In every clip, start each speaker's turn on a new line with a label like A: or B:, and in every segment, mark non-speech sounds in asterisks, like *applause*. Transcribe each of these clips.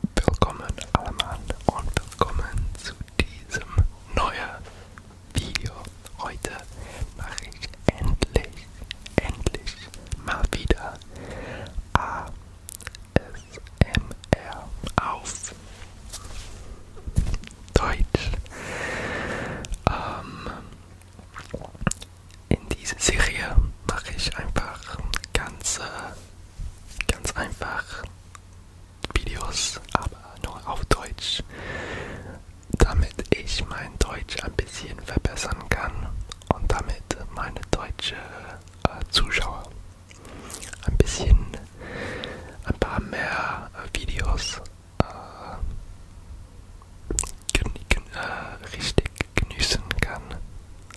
A: Willkommen allemann und willkommen zu diesem neuen Video. Heute mache ich endlich, endlich mal wieder ASMR auf Deutsch. Ähm, in dieser Serie mache ich einfach ganz, äh, ganz einfach Videos, aber nur auf Deutsch, damit ich mein Deutsch ein bisschen verbessern kann und damit meine deutsche äh, Zuschauer ein bisschen, ein paar mehr äh, Videos äh, gen, gen, äh, richtig genießen kann.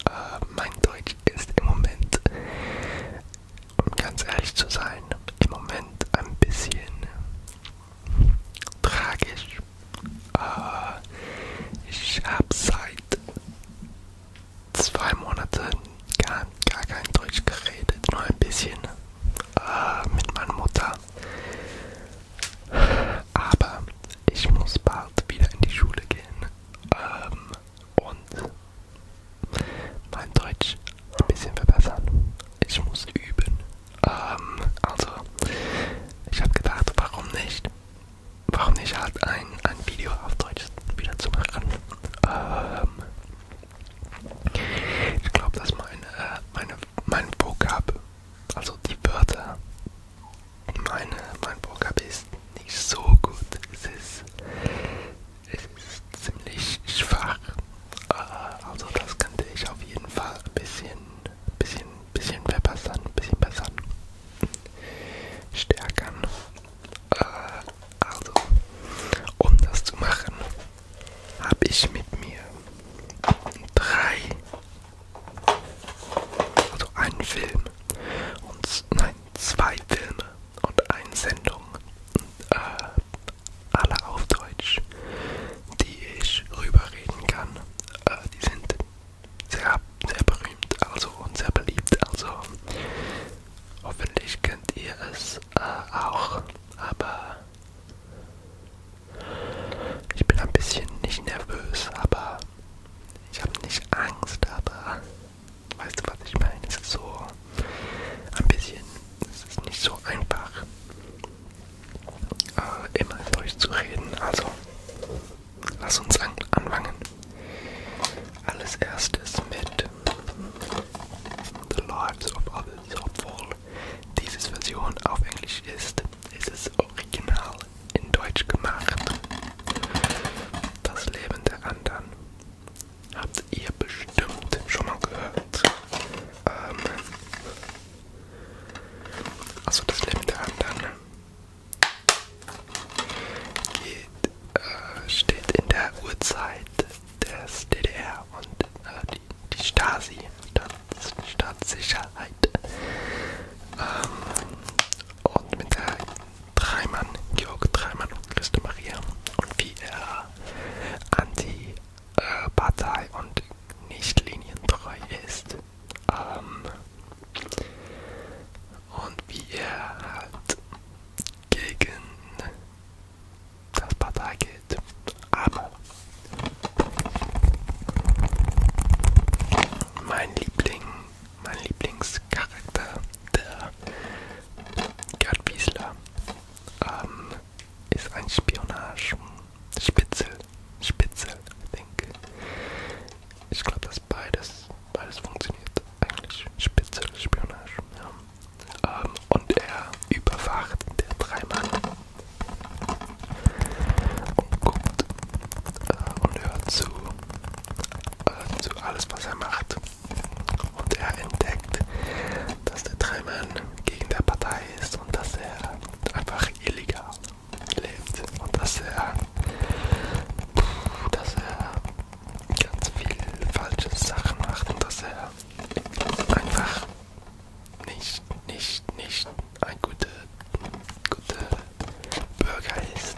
A: Äh, mein Deutsch ist im Moment, um ganz ehrlich zu sein, im Moment ein bisschen tragisch. Äh, ich habe seit zwei Monaten gar, gar kein Deutsch geredet, nur ein bisschen äh, mit meiner Mutter. Aber ich muss bald wieder in die Schule gehen ähm, und mein Deutsch ein bisschen verbessern. Ich muss üben. Ähm, also, ich habe gedacht, warum nicht? Warum nicht halt ein, ein Video auf Deutsch wieder zu machen? Ähm, ich glaube, dass mein, äh, meine, mein Vocab also die Wörter meine, mein Programm ist nicht so gut. Es ist, es ist ziemlich schwach. Äh, also das könnte ich auf jeden Fall ein bisschen, bisschen, bisschen verbessern, bisschen bessern, stärkern. Äh, also, um das zu machen, habe ich mit mir drei also einen Film und nein, zwei Filme und eine Sendung. Und, äh, alle auf Deutsch, die ich rüberreden kann. Äh, die sind sehr, sehr berühmt also und sehr beliebt. Also hoffentlich kennt ihr es äh, auch. Aber ich bin ein bisschen nicht nervös, aber ich habe nicht Angst, aber weißt du, was ich meine? Es ist so ein bisschen, es ist nicht so einfach, äh, immer durchzureden. Also, lass uns an anfangen. Alles erstes mit The Lives of Others, obwohl diese Version auf Englisch ist ist es original in Deutsch gemacht. Das Leben der anderen habt ihr bestimmt schon mal gehört. Ähm also das Leben der anderen geht, äh, steht in der Uhrzeit des DDR und äh, die, die Stasi, die Staatssicherheit. Ähm, und mit der Dreimann, Georg Dreimann und Christa Maria und wie er anti-Partei äh, und nicht linientreu ist. Ähm, und wie er halt gegen das Partei geht. Aber mein Liebling, mein Lieblingscharakter, der Gerd Wiesler, ähm, ist ein Spionage. Spitzel, Spitzel, ich denke. Ich glaube, dass beides, beides funktioniert eigentlich. Spitzel, Spionage. Ja. Ähm, und er überwacht der drei Mann und guckt äh, und hört zu, äh, zu alles, was er macht. Und er entdeckt, dass der Tremen gegen der Partei ist und dass er einfach illegal lebt und dass er, dass er ganz viel falsche Sachen macht und dass er einfach nicht, nicht, nicht ein guter, guter Bürger ist.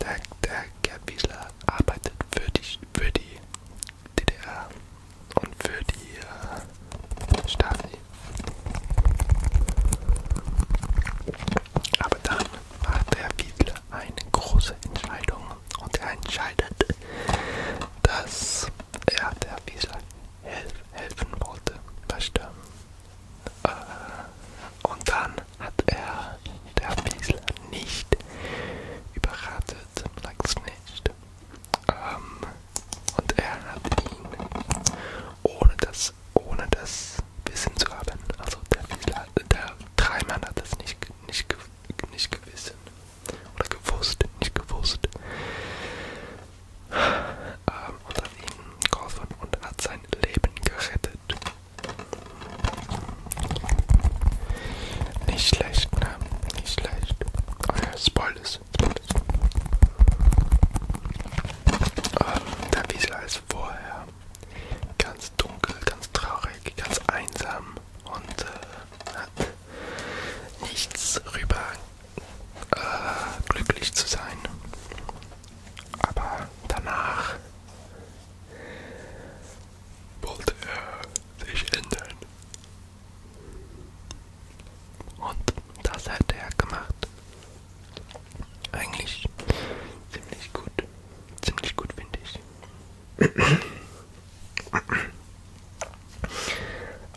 A: Der, der Gerd Wiesler arbeitet für die, für die DDR und für die äh, Stasi. Aber dann macht der Wiesler eine große Entscheidung und er entscheidet, dass er der Wiesel helf helfen wollte. Verstehen? Äh, und dann hat er der Wiesel nicht überratet, sag's nicht. Ähm, und er hat ihn ohne das, ohne das Wissen zu haben, also der Wiesel, der Dreimann hat das nicht, nicht nicht gewissen. Oder gewusst, nicht gewusst. Ähm, und hat ihn geholfen und hat sein Leben gerettet. Nicht schlecht, ne? Nicht schlecht. Oh ja, Spoilers. Ähm, der Wiesel ist vorher ganz dunkel, ganz traurig, ganz einsam und äh, hat nichts rüber äh, glücklich zu sein. Aber danach wollte er sich ändern. Und das hat er gemacht. Eigentlich ziemlich gut. Ziemlich gut finde ich.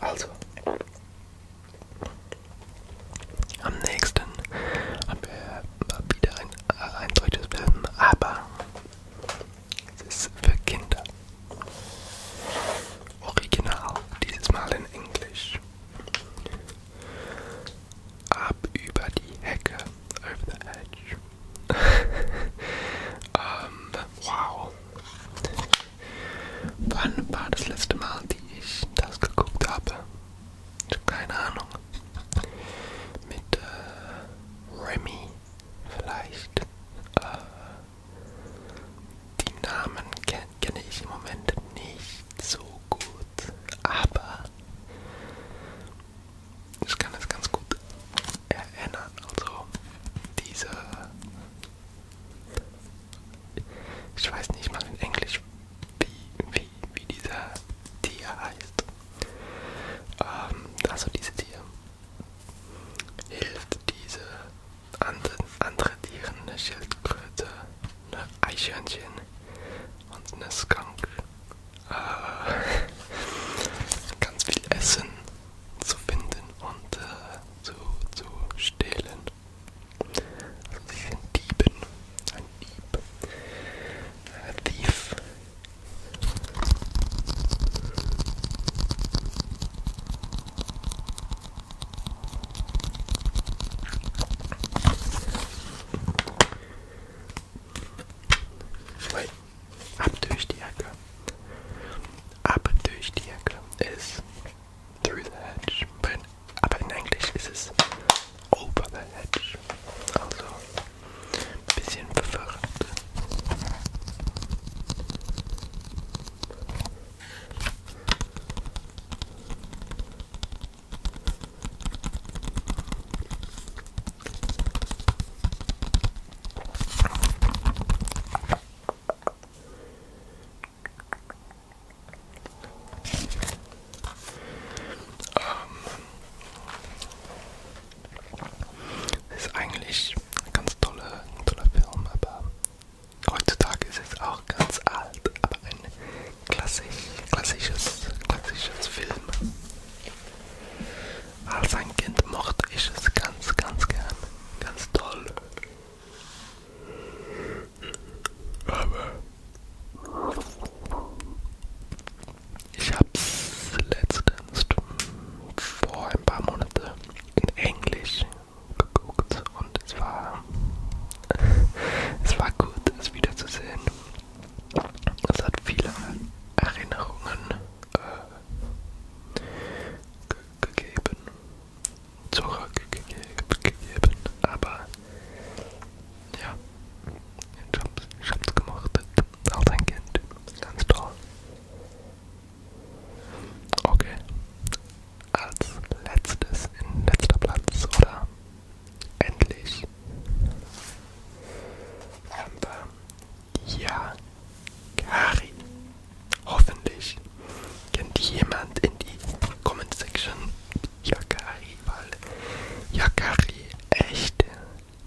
A: Also, am nächsten haben wir wieder ein, äh, ein deutsches Film, aber es ist für Kinder. Original, dieses Mal in Englisch. Ab über die Hecke over the edge. ähm, wow. Wann war das letzte Mal, die ich das geguckt habe? Keine Ahnung. Mit äh, Remy vielleicht. Äh, die Namen kenne kenn ich im Moment nicht so gut, aber ich kann das ganz gut erinnern. Also diese... Ich weiß nicht mal in Englisch, wie, wie, wie dieser Tier heißt. Ähm, also diese Tier hilft diese anderen, andere Tiere, eine Schildkröte, eine Eichhörnchen und eine Skunk äh, *laughs* ganz viel Essen zu finden und äh, zu, zu stehlen. Also sie sind Dieben. Ein Dieb. Ein äh, Thief. Wait. Ab durch die Ecke. Ab durch die Ecke ist through the hedge. But in, aber in Englisch ist es over the hedge. Also ein bisschen verwirrend. Es ähm, ist eigentlich ein ganz toller, toller Film, aber heutzutage ist es auch ganz alt, aber ein klassisch, klassisches, klassisches Film. Als ein Kind mochte ich es ganz, ganz gern. Ganz toll. Aber ich hab's letztens vor ein paar Monaten in Englisch geguckt und es war, *laughs* es war gut, es wiederzusehen. Es hat viele Erinnerungen äh, ge gegeben, zurückgegeben, aber ja, ich hab's, ich hab's gemacht als ein Kind, ganz toll. Okay, als letztes, in letzter Platz oder Endlich haben wir ja Karin. Hoffentlich kennt jemand in die Comment Section Yakari, weil Yakari echt,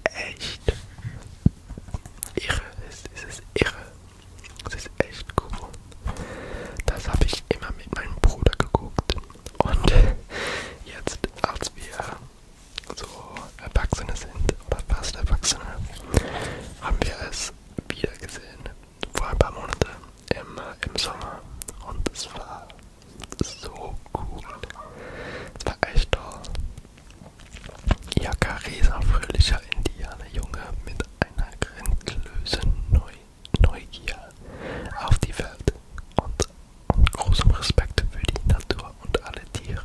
A: echt irre ist. Es ist irre. Es ist echt cool. Das habe ich immer mit meinem Bruder geguckt. Und jetzt als dass wir so Erwachsene sind oder fast Erwachsene, haben wir es wieder gesehen vor ein paar Monaten im, im Sommer und es war so cool. Es war echt toll. Jacaresa, fröhlicher Indianerjunge mit einer Grindlöse neu Neugier auf die Welt und, und großem Respekt für die Natur und alle Tiere.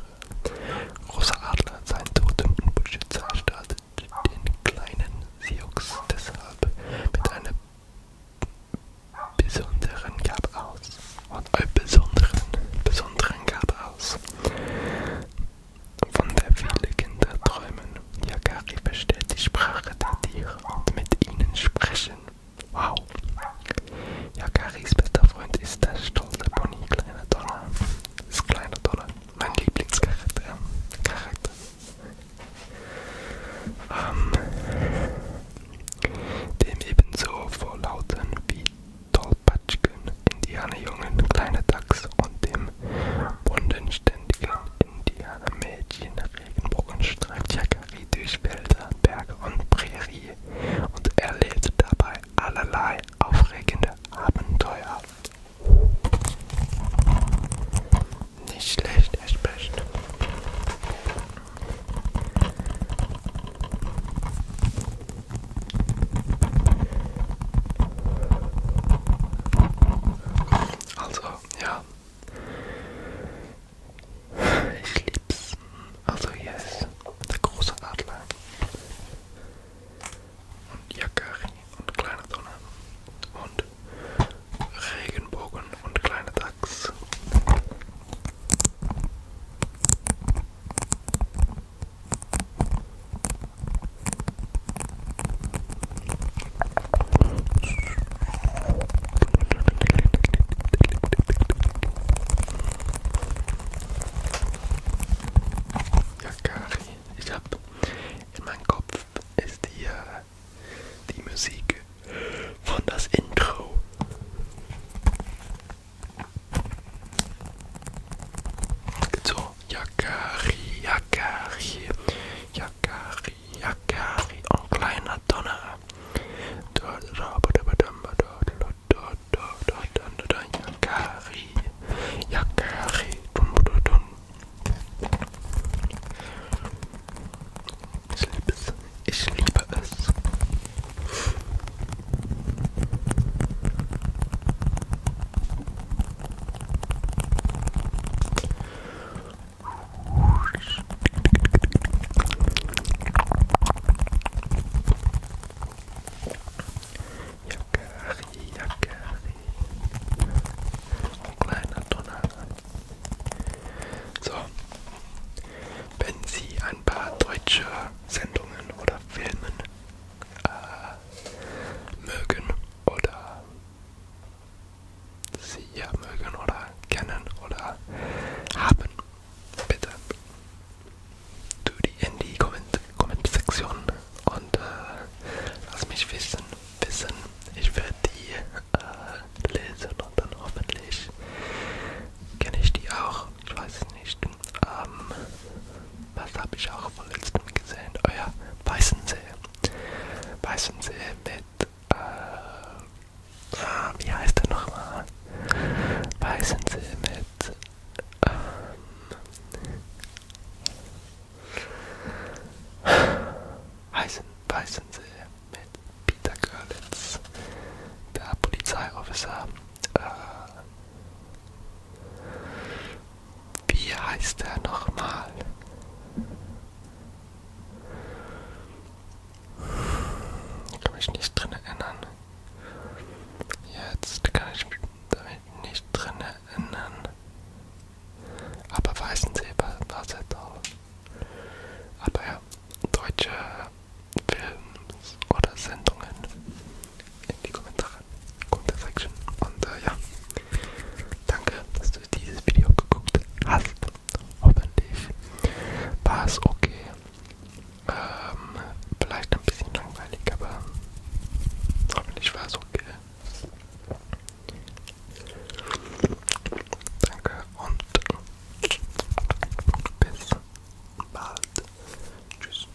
A: Großer Adler hat seinen Totem und Beschützer erstattet den kleinen Sioux deshalb mit einer besonderen Gabe aus. Und einen besonderen, besonderen Gabe aus. Von der viele Kinder träumen. Yakari versteht die Sprache der Tiere und mit ihnen sprechen Wow. Ja, Karis bester Freund ist der stolze Bonnie, kleiner Donner. Das kleine Donner, mein Lieblingscharakter. Charakter. Ähm, dem ebenso vor Lauten wie Tollpatschken, Indianerjungen, kleine Dachs und dem bundenständigen Indianermädchen Regenbogen streift Jakari durch Wälder, Berge und Prärie und erlebt dabei allerlei aufregende Abenteuer. Nicht schlecht, echt best. Also, ja, ich lieb's. Also hier ist der große Adler. Und Yakari und kleine Sonne. Und Regenbogen und kleine Dachs. Ja, Kari, ich hab in meinem Kopf ist hier die Musik von das Intro. So, Yakari, Yakari, Yakari, Yakari und oh, kleiner Donner. Yakari. Yakari. Ich liebe es. Ich liebe es. Yakari, Yakari. Ein kleiner Donner. So. Wenn Sie ein paar deutsche Sendungen oder Filmen äh, mögen oder sie mögen oder kennen oder haben. Bitte tu die in die Kommentarsektion und äh, lass mich wissen. wissen. Ich werde die äh, lesen und dann hoffentlich kenne ich die auch. Ich weiß es nicht. Ähm, was habe ich auch von letztem gesehen? Euer Weißensee meistens mit, äh, ah, wie heißt der nochmal? Meistens mit, ähm, Weißen, Weißensee mit Peter Görlitz, der Polizeiofficer. Äh, wie heißt er nochmal? Kann mich nicht drin erinnern. Jetzt kann ich mich damit nicht drin erinnern. Aber Weißensee war sehr toll. Aber ja, deutsche Films oder Sendungen in die Kommentare machen. Gute Section. Und äh, ja, danke, dass du dieses Video geguckt hast. Hoffentlich war es okay. Ähm, vielleicht ein bisschen langweilig, aber hoffentlich war es okay. Danke und bis bald. Tschüss.